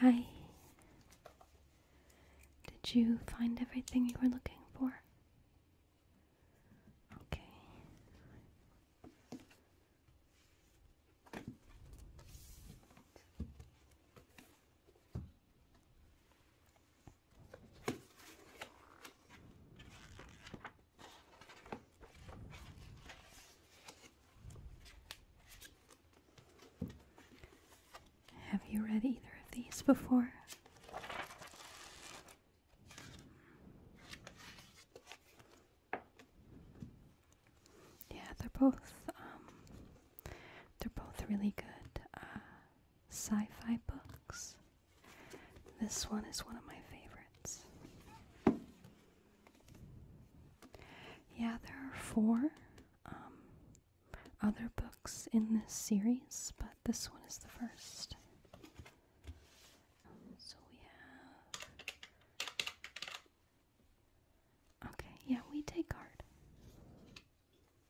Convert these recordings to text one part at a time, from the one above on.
Hi. Did you find everything you were looking for? Okay. Have you read either of these before? Yeah, they're both um, they're both really good uh, sci-fi books. This one is one of my favorites. Yeah, there are four um, other books in this series, but this one is the first. So we have Okay, yeah, we take card.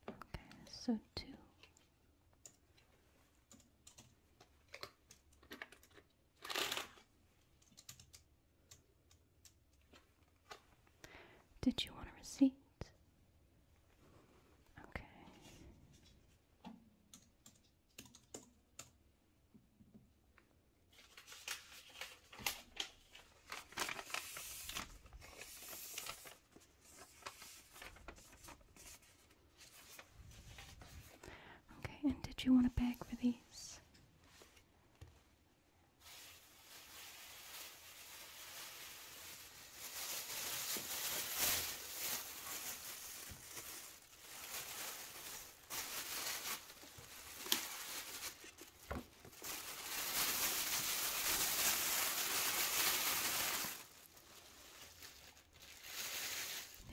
Okay, so two. Did you want a receipt? Okay. Okay, and did you want a bag for these? There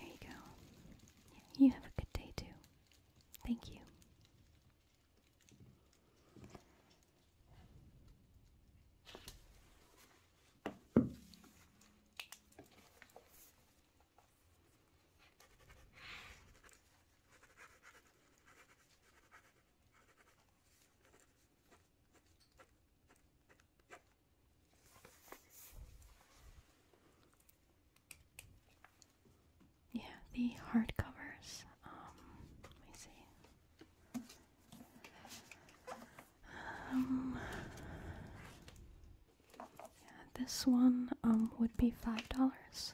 you go. You have a good day too. Thank you. Yeah, the hardcovers. Um, let me see. Um, yeah, this one um would be five dollars.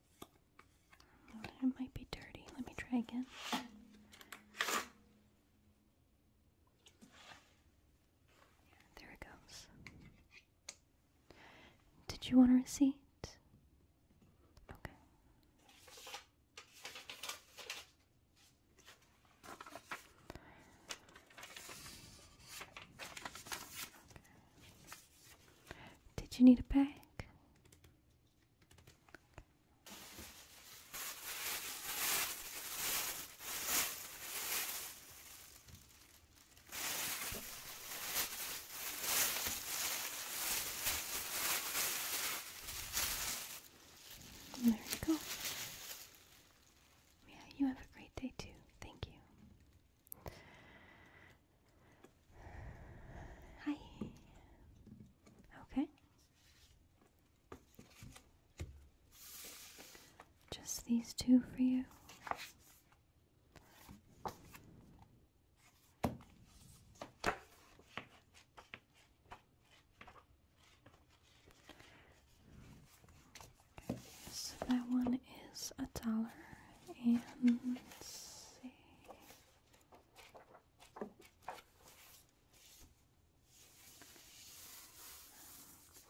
Oh, might be dirty. Let me try again. There it goes. Did you want a receipt? Okay. Did you need a bag? There you go. Yeah, you have a great day too. Thank you. Hi. Okay. Just these two for you. so that one is a dollar and let's see.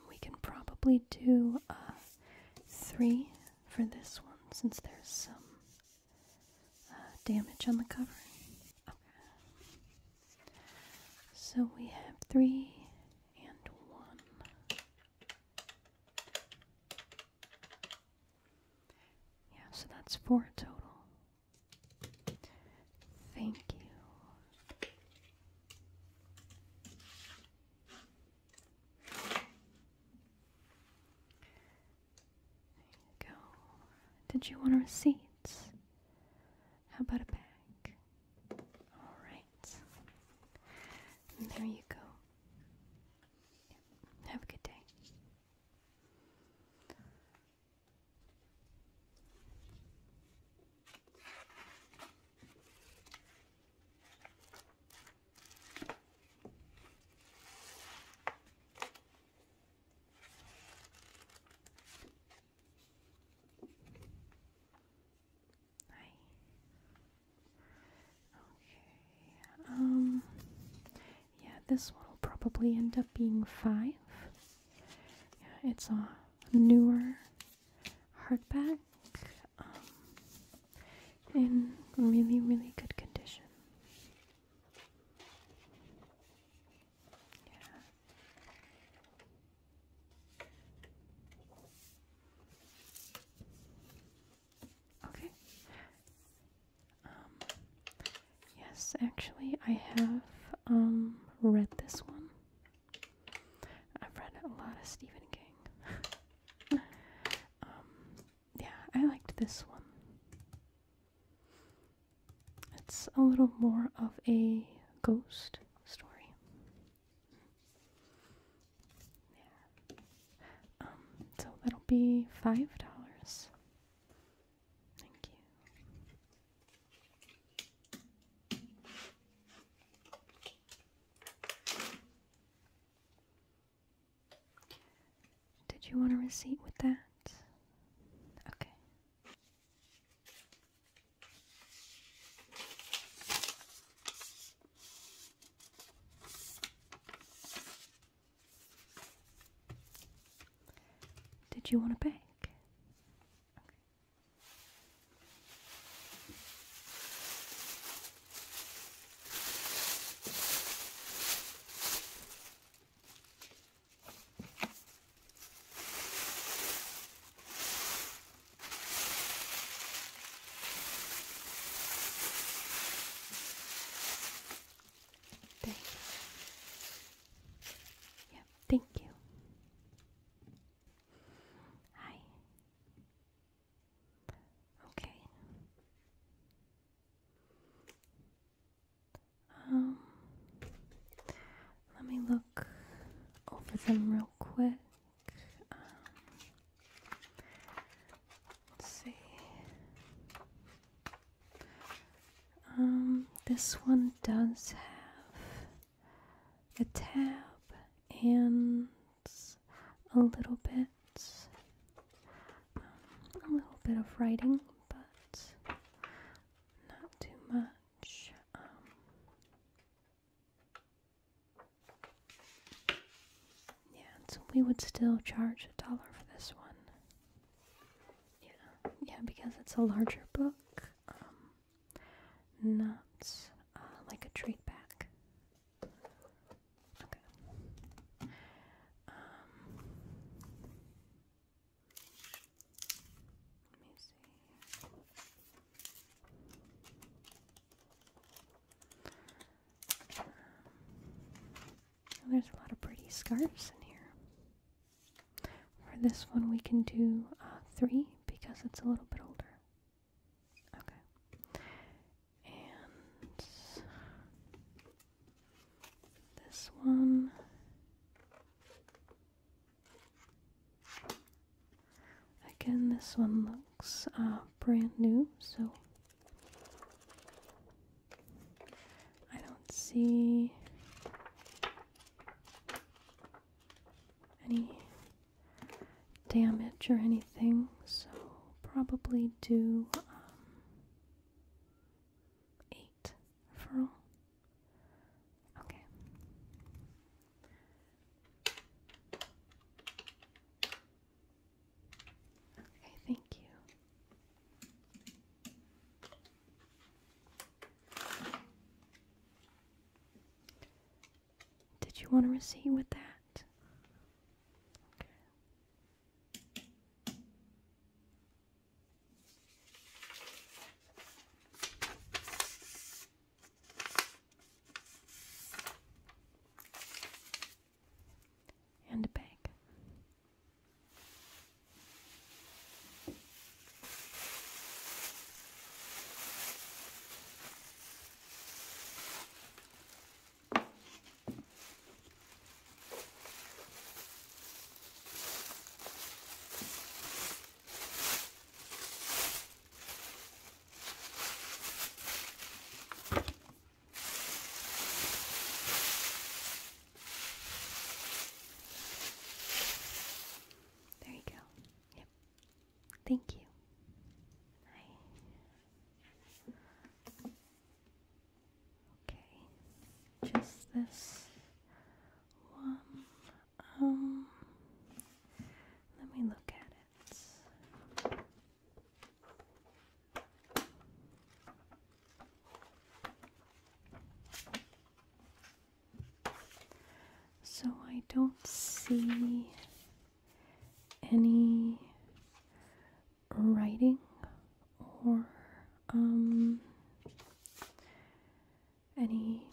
We can probably do uh, three for this one since there's some uh, damage on the cover. So we have three and one. Yeah, so that's four total. Thank you. There you go. Did you want receipts? How about a bag? Alright. There you go. Have a good day. Hi. Okay. Um yeah, this one will probably end up being five. Yeah, it's a newer hardback. Um, in really, really good condition. Yeah. Okay. Um, yes, actually, I have um, read this one. I've read a lot of Stephen King. Um, yeah, I liked this one. It's a little more of a ghost story. There. Um, so that'll be $5. Thank you. Did you want a receipt with that? Okay. Did you want a bake? There. Yeah, thank you. Hi. Okay. Um let me look over them real quick. Um, Let's see. Um, this one does have a tab and a little bit, um, a little bit of writing, but not too much. Um, yeah, so we would still charge a dollar for this one. Yeah, yeah, because it's a larger book, um, not uh, like a trade back. Um, let me see there's a lot of pretty scarves in here. For this one, we can do uh, three because it's a little bit older. Okay. And this one. Again, this one looks uh, brand new, so I don't see any damage or anything, so probably do um, eight furl. Okay. Okay, thank you. Did you want to receive with that? and a bag. There you go. Yep. Thank you. Okay. Just this one. Um let me look at it. So I don't see any writing or um any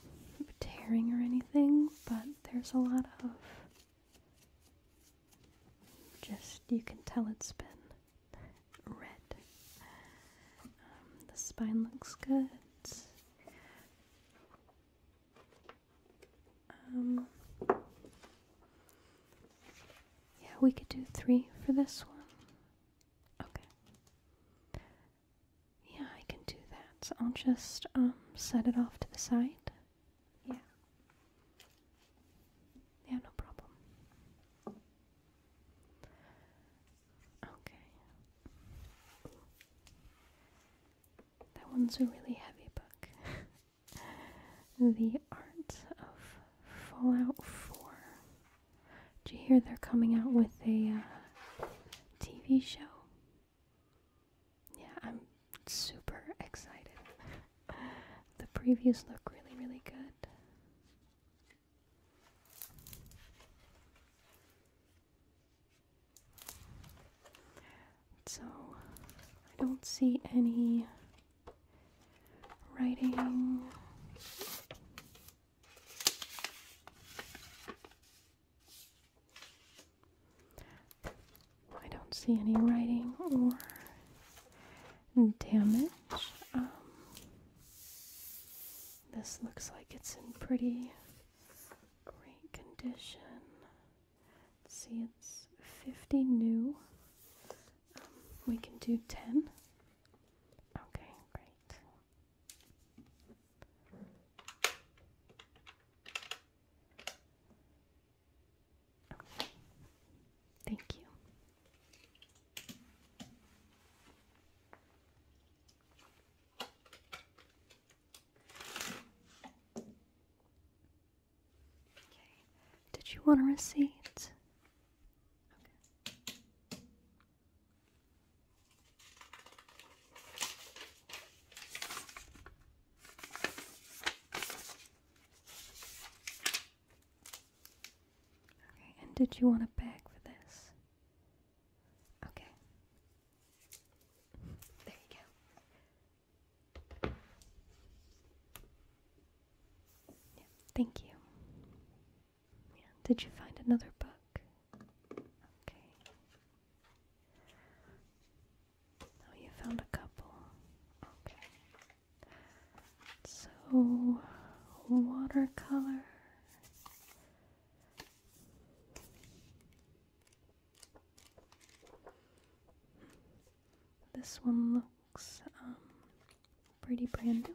tearing or anything, but there's a lot of just, you can tell it's been red. Um, the spine looks good. Um, yeah, we could do three for this one. Okay. Yeah, I can do that. So I'll just um, set it off to the side. Yeah. Yeah, no problem. Okay. That one's a really heavy book. the Art of Fallout 4. Did you hear they're coming out with a uh, TV show? Yeah, I'm super excited. the previews look really, really good. So, I don't see any writing. I don't see any writing or damage. Um, this looks like it's in pretty great condition. Let's see, it's 50 new. Um, we can do 10. Okay, great. Thank you. Okay. Did you want a receipt? Okay, and did you want a bag for this? Okay. There you go. Yeah, thank you. did you find another book? Okay. Oh, you found a couple. Okay. So, watercolor. This one looks um, pretty brand new.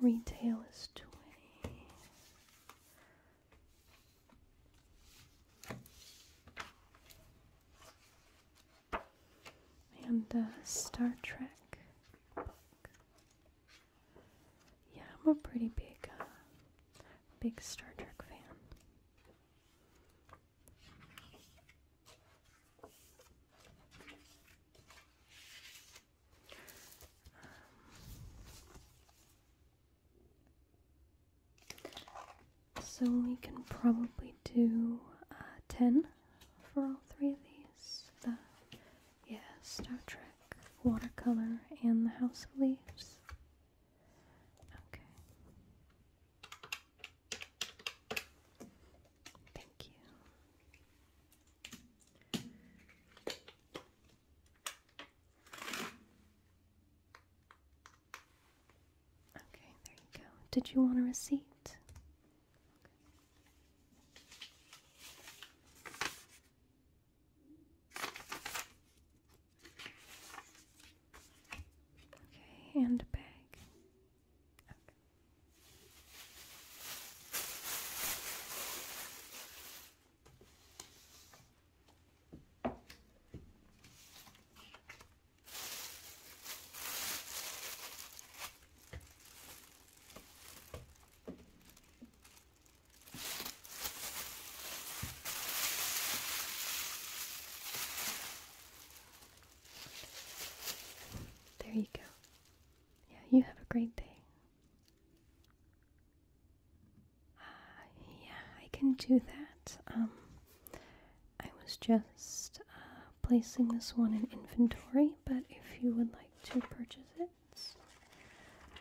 Retail is 20. And Star Trek Yeah, I'm a pretty big, uh, big Star Trek fan. So we can probably do uh, 10 for all three of these. The, yeah, Star Trek, Watercolor, and the House of Leaves. Okay. Thank you. Okay, there you go. Did you want a receipt? Okay, and there you go. Yeah, you have a great day yeah, I can do that. Um, I was just uh, placing this one in inventory, but if you would like to purchase it, yeah,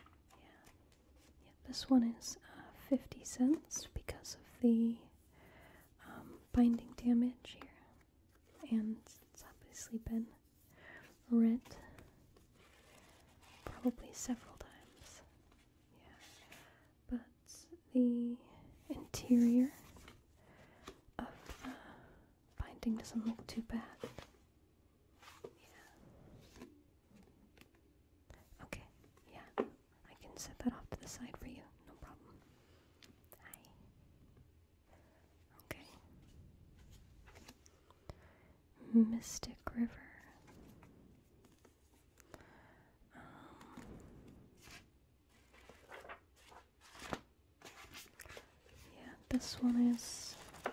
this one is uh, 50 cents because of the um, binding damage here, and it's obviously been read probably several times. Yeah. But the interior of the uh, binding doesn't look too bad. Yeah. Okay, yeah. I can set that off to the side for you, no problem. Hi. Okay. Mystic River. Um, yeah, this one is in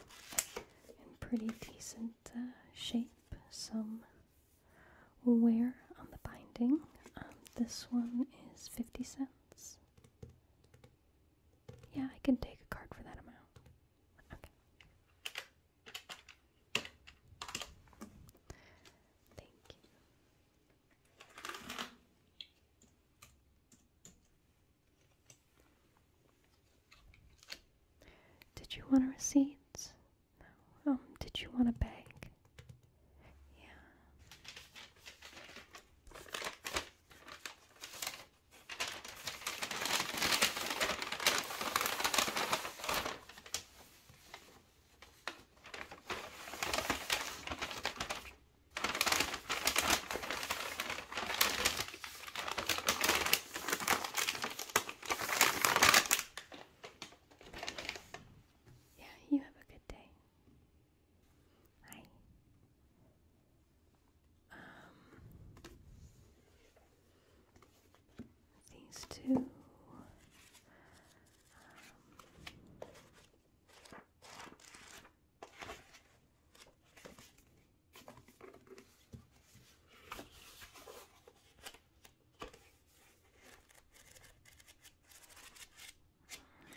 pretty decent uh, shape. Some wear on the binding. Um, this one is 50 cents. Yeah, I can take a card for that amount. Thank you. Did you want a receipt? No. Um, did you want a bag? Yeah. Yeah, you have a good day. Bye these two.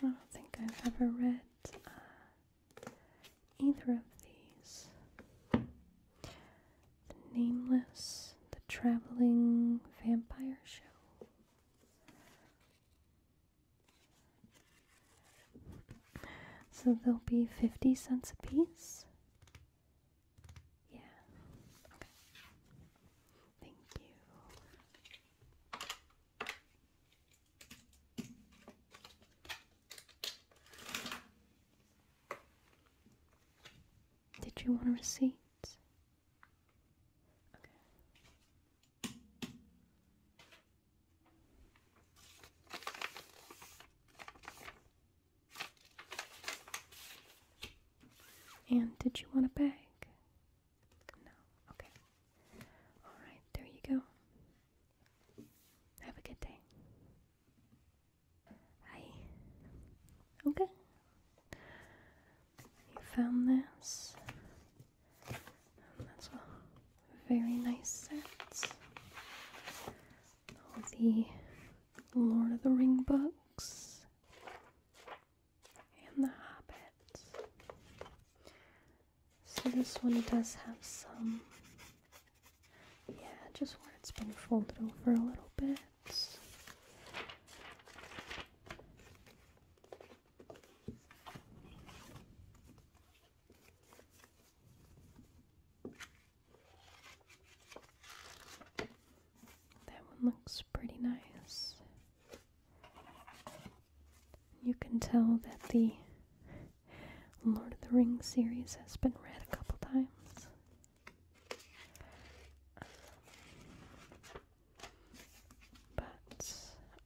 Um, I don't think I've ever read uh, either of these. The Nameless, The Traveling Vampire Show. So they'll be 50 cents a piece. Yeah. Thank you. Did you want a receipt? Okay. And did you want a bag? No. Okay. All right, there you go. Have a good day. Hi. Okay. You found this. that's a very nice set. All the Lord of the Ring books and The Hobbit. So this one does have some yeah, just where it's been folded over a little bit. That one looks pretty nice. You can tell that the Lord of the Rings series has been read a couple times. But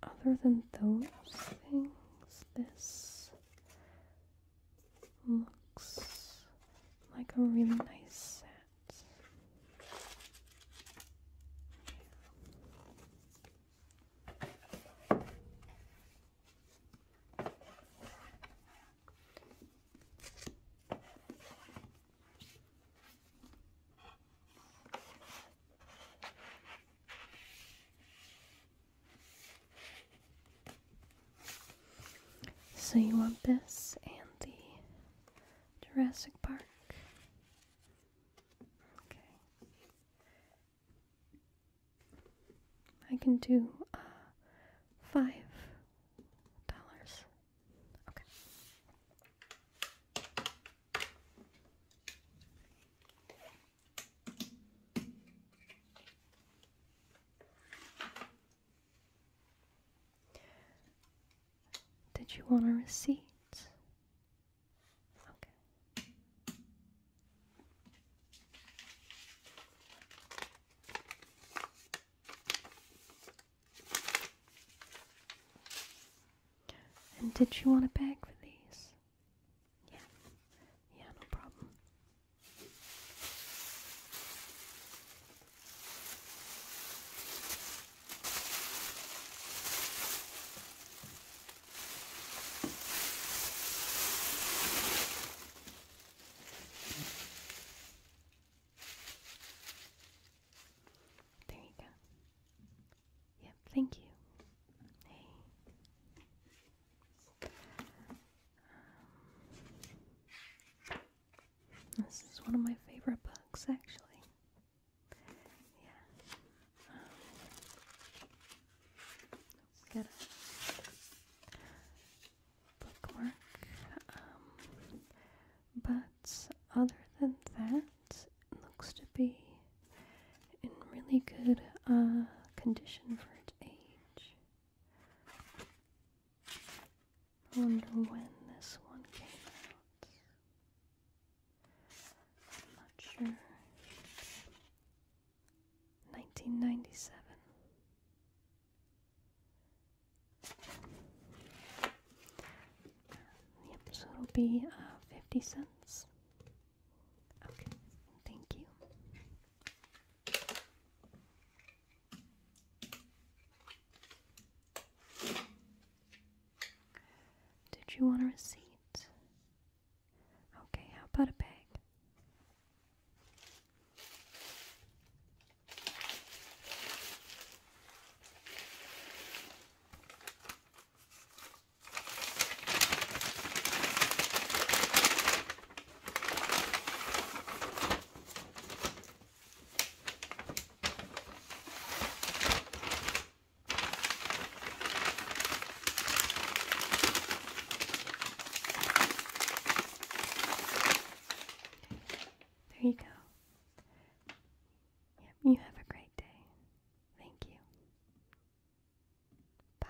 other than those things, this looks like a really nice set. So you want this and the Jurassic Park? Okay. I can do uh, five dollars. Okay. Did you want a receipt? Okay. And did you want a bag for these? Yeah. Yeah, no problem. There you go. Yep, thank you. Hey. Um, this is one of my favorite books, actually. Yeah. Um, got a bookmark. Um, but other than that, it looks to be in really good uh, condition for its age. I wonder when this one came out. not sure. 1997. Yep, so it'll be uh, 50 cents. Okay, thank you. Did you want a receipt? Okay, how about a bag? There you go. Yep, you have a great day. Thank you. Bye.